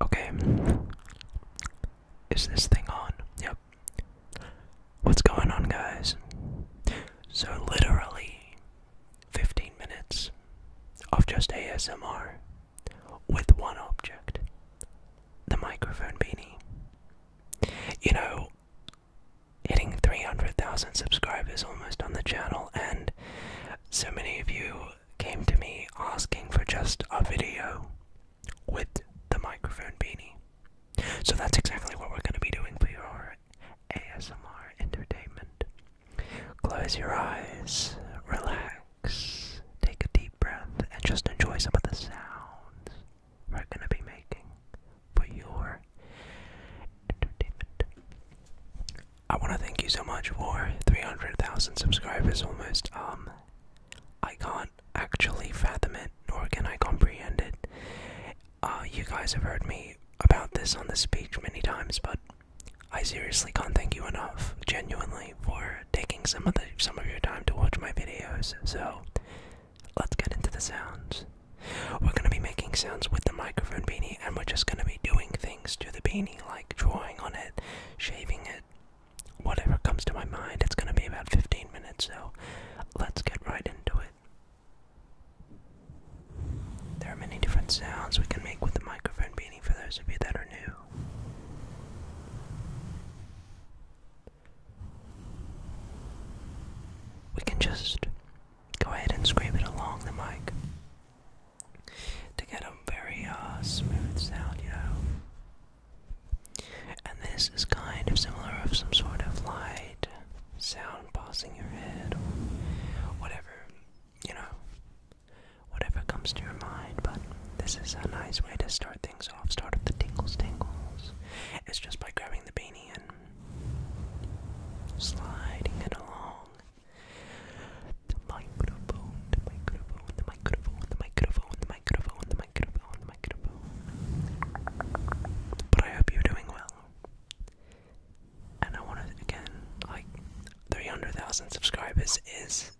Okay. Is this thing on? Yep. What's going on, guys? So, literally 15 minutes of just ASMR with one object the microphone beanie. You know, hitting 300,000 subscribers almost on the channel, and so many of you came to me asking for just a video with the microphone beanie. So that's exactly what we're going to be doing for your ASMR entertainment. Close your eyes, relax, take a deep breath, and just enjoy some of the sounds we're going to be making for your entertainment. I want to thank you so much for 300,000 subscribers almost. Um, I can't actually fathom it, nor can I comprehend it. Uh, you guys have heard me about this on the speech many times, but I seriously can't thank you enough, genuinely, for taking some of the some of your time to watch my videos. So, let's get into the sounds. We're gonna be making sounds with the microphone beanie, and we're just gonna be doing things to the beanie, like drawing on it, shaving it, whatever comes to my mind. It's going to be about 15 minutes, so let's get right into it. There are many different sounds we can make with the microphone beanie for those of you that are new. We can just go ahead and scrape it along the mic to get a very uh, smooth sound, you know. And this is kind of similar of some sort of light sound passing your head or whatever, you know, whatever comes to your mind. But this is a nice way to start things off, start with the tingles, tingles. It's just by grabbing the beanie and sliding it along. The microphone, the microphone, the microphone, the microphone, the microphone, the microphone, the microphone. But I hope you're doing well. And I want to, again, like, 300,000 subscribers is.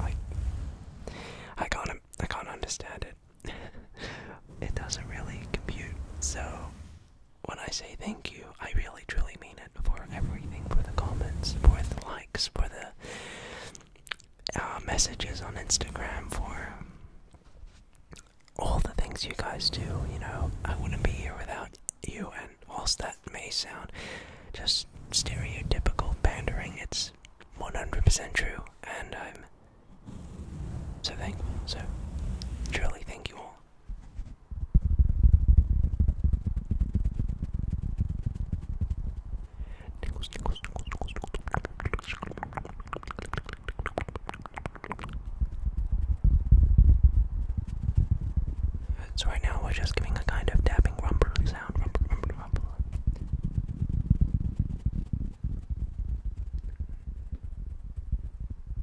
Like, I can't, I can't understand it. it doesn't really compute, so when I say thank you, I really truly mean it for everything, for the comments, for the likes, for the uh, messages on Instagram, for all the things you guys do. You know, I wouldn't be here without you. And whilst that may sound just stereotypical pandering, it's 100% true, and I'm so thankful. So, truly, thank you all. Tickles, So right now we're just giving a kind of tapping rumble sound,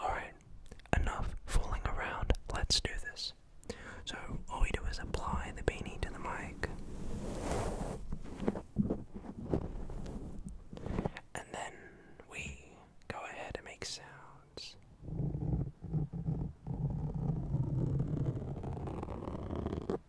Alright, enough fooling around. Let's do this. So, all we do is apply the beanie to the mic. And then we go ahead and make sounds.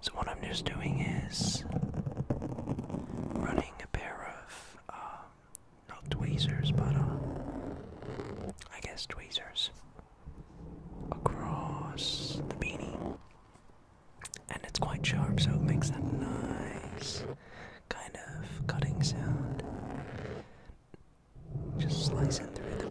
So what I'm just doing is running a pair of um, not tweezers, but uh, I guess tweezers across the beanie, and it's quite sharp, so it makes that nice kind of cutting sound. Just slicing through the beanie.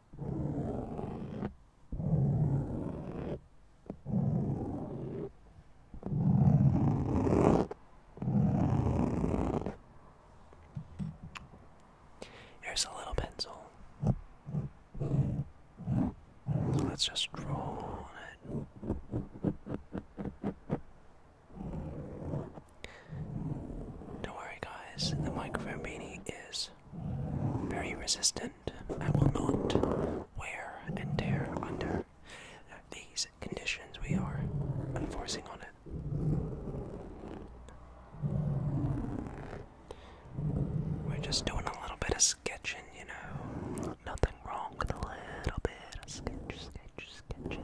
Here's a little pencil. let's just draw on it. Don't worry, guys, the microphone beanie is very resistant. I will not wear and tear under these conditions we are enforcing on it. We're just doing a little bit of sketching, you know. Nothing wrong with a little bit of sketch, sketch, sketching.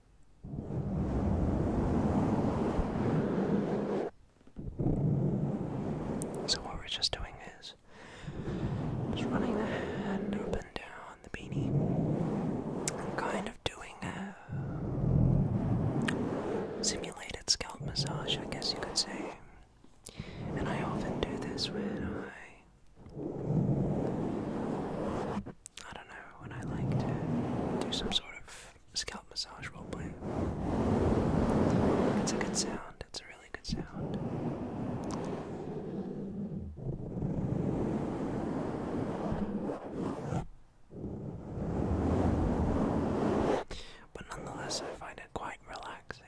So what we're just doing is just running the hand up and down the beanie kind of doing a simulated scalp massage, I guess you could say. And I often do this when I I don't know, when I like to do some sort of scalp massage role playing. It's a good sound, it's a really good sound. But nonetheless, I find it quite relaxing.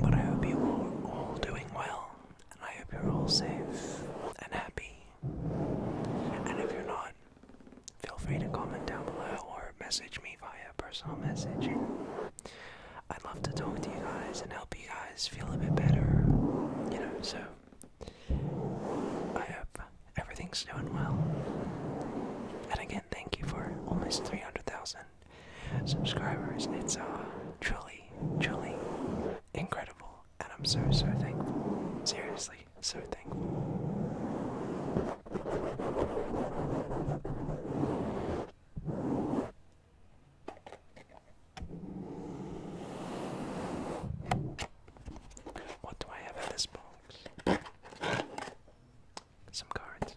But I hope you are all doing well, and I hope you're all safe and happy. And if you're not, feel free to comment down below or message me via personal message. I'd love to talk to you guys and help you guys feel a bit better, you know, so I hope everything's doing well. And again, thank you for almost 300,000 subscribers. It's uh, truly, truly incredible, and I'm so, so thankful. Seriously, so thankful. What do I have in this box? some cards.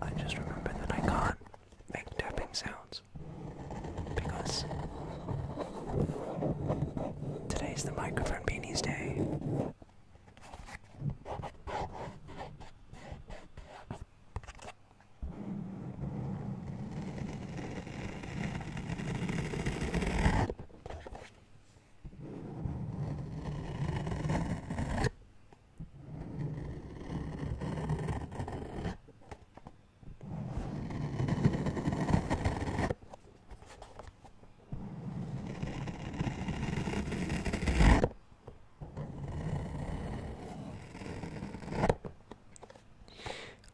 I just remember that I can't make tapping sounds videos because today's the microphone beanies day.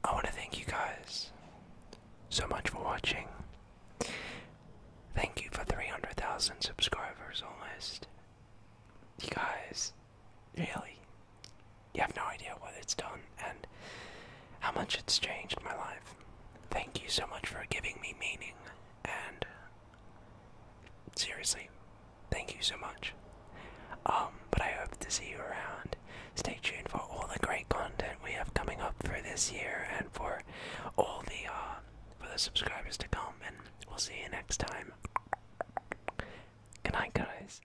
I want to thank you guys so much for watching. Thank you for 300,000 subscribers almost. You guys, Really? You have no idea what it's done and how much it's changed my life. Thank you so much for giving me meaning and seriously, thank you so much. Um, but I hope to see you around. Stay tuned for all the great content we have coming up for this year and for all the uh for the subscribers to come and we'll see you next time. Good night guys.